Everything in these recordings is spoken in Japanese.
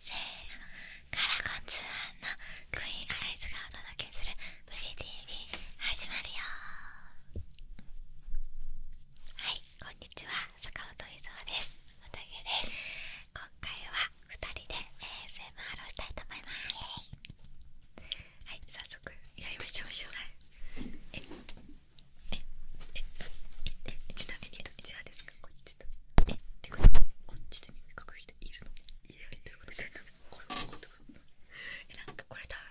せーのカラコンツアのクイーンアイズがお届けする「ブリティ TV」始まるよはいこんにちは坂本伊沢ですおたげです今回は2人で ASMR をしたいと思いますはい早速やりましょうしょうえええええちなみにどっちはですかこちとえってことこっちで耳かく人いるのいやということでこれこってことえなんかこれ多分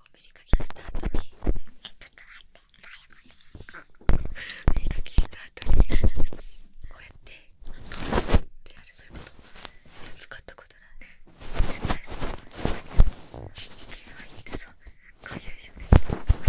こう耳かきした後にえちょっと待って耳かきした後にこうやって顔しってやるそういうことでも使ったことない絶対そういくら入ってそうこういう状態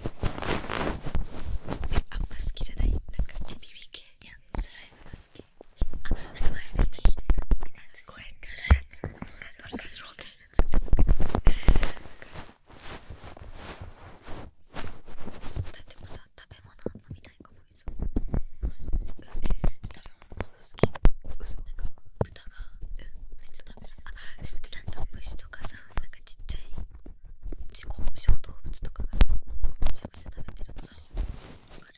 あんま好きじゃないなんかこう耳系いやスライムが好きあっ前めっちいてる耳のやつこれスライムなんかなってだってもさ食べ物飲みたいかもみそうマジで食べ物の好き嘘なんか豚がうんめっちゃ食べるあなんか虫とかさなんかちっちゃいちこ小動物とかがむしゃむせゃ食べてるのさわかる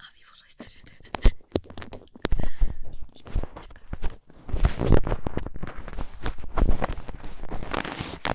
あみ物してるね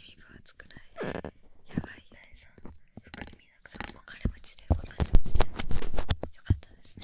耳分厚くなやばいよ深みなくても金持ちでご覧にしてでよかったですね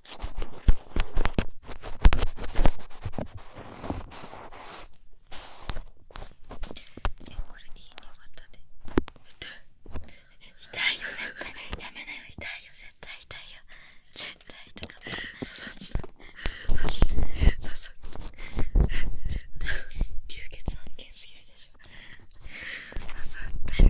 これい痛いよ絶対やめなよ痛いよ絶対痛いよ絶対痛か刺さった流血案件すぎでしょ刺さよ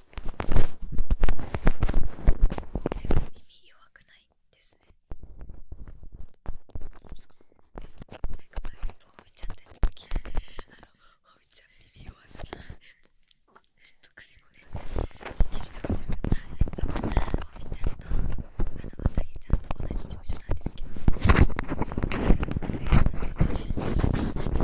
耳弱くないですねなんか前にほうびちゃんって時あのほうびちゃん耳弱すぎずっと首こんな先生できるとこじゃなかったうびちゃんとあのわたぎちゃんと同じ事務なんですけどそういう仲良く仲良く仲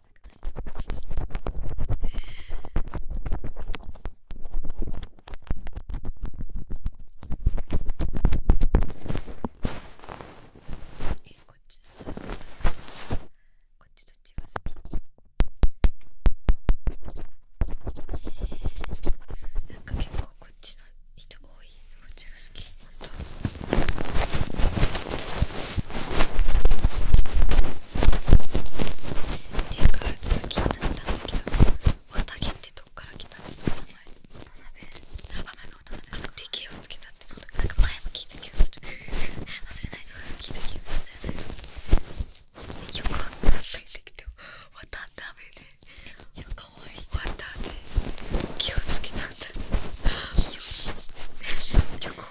えこっちさこっちこっちどっちが好なんか結構こっちの人多いこっちが好きほんとっていうかちょっと気になったんだけど綿毛ってどっから来たんですか名前渡辺あ前が渡辺あで毛をつけたってそのなんか前も聞いた気がする忘れないで聞いた気がするよくわかんないんだけど渡辺でいやかわいい渡で毛をつけたんだよくわ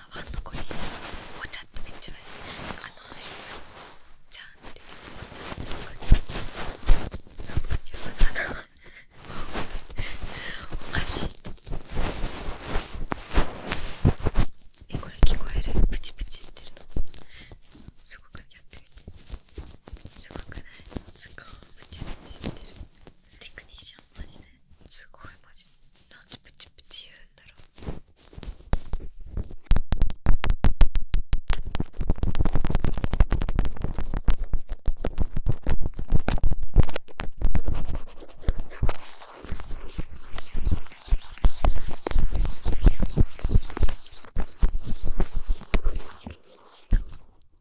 あこかそれ聞こえるプチプチってるのすごくやってみてすごくないすごいプチプチってるテクニションマジですごいマジなんでプチプチ言うんだろう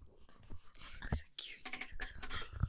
なんかさ急に出るから。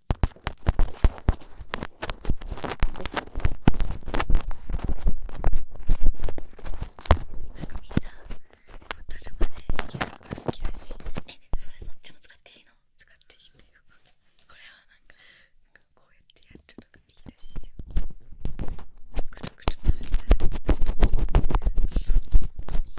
かみんなボトルまでいけるのが好きだしえそれそっちも使っていいの使っていいっんだよこれはなんかなんかこうやってやるとがいいらしいよくるくる回したらそっちもいい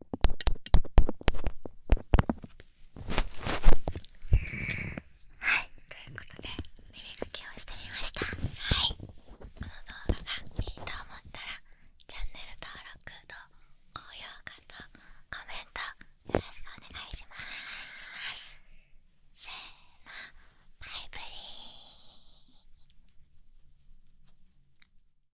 はい、ということで耳かきをしてみましたはい、この動画がいいと思ったらチャンネル登録と高評価とコメントよろしくお願いしますせーのバイブリー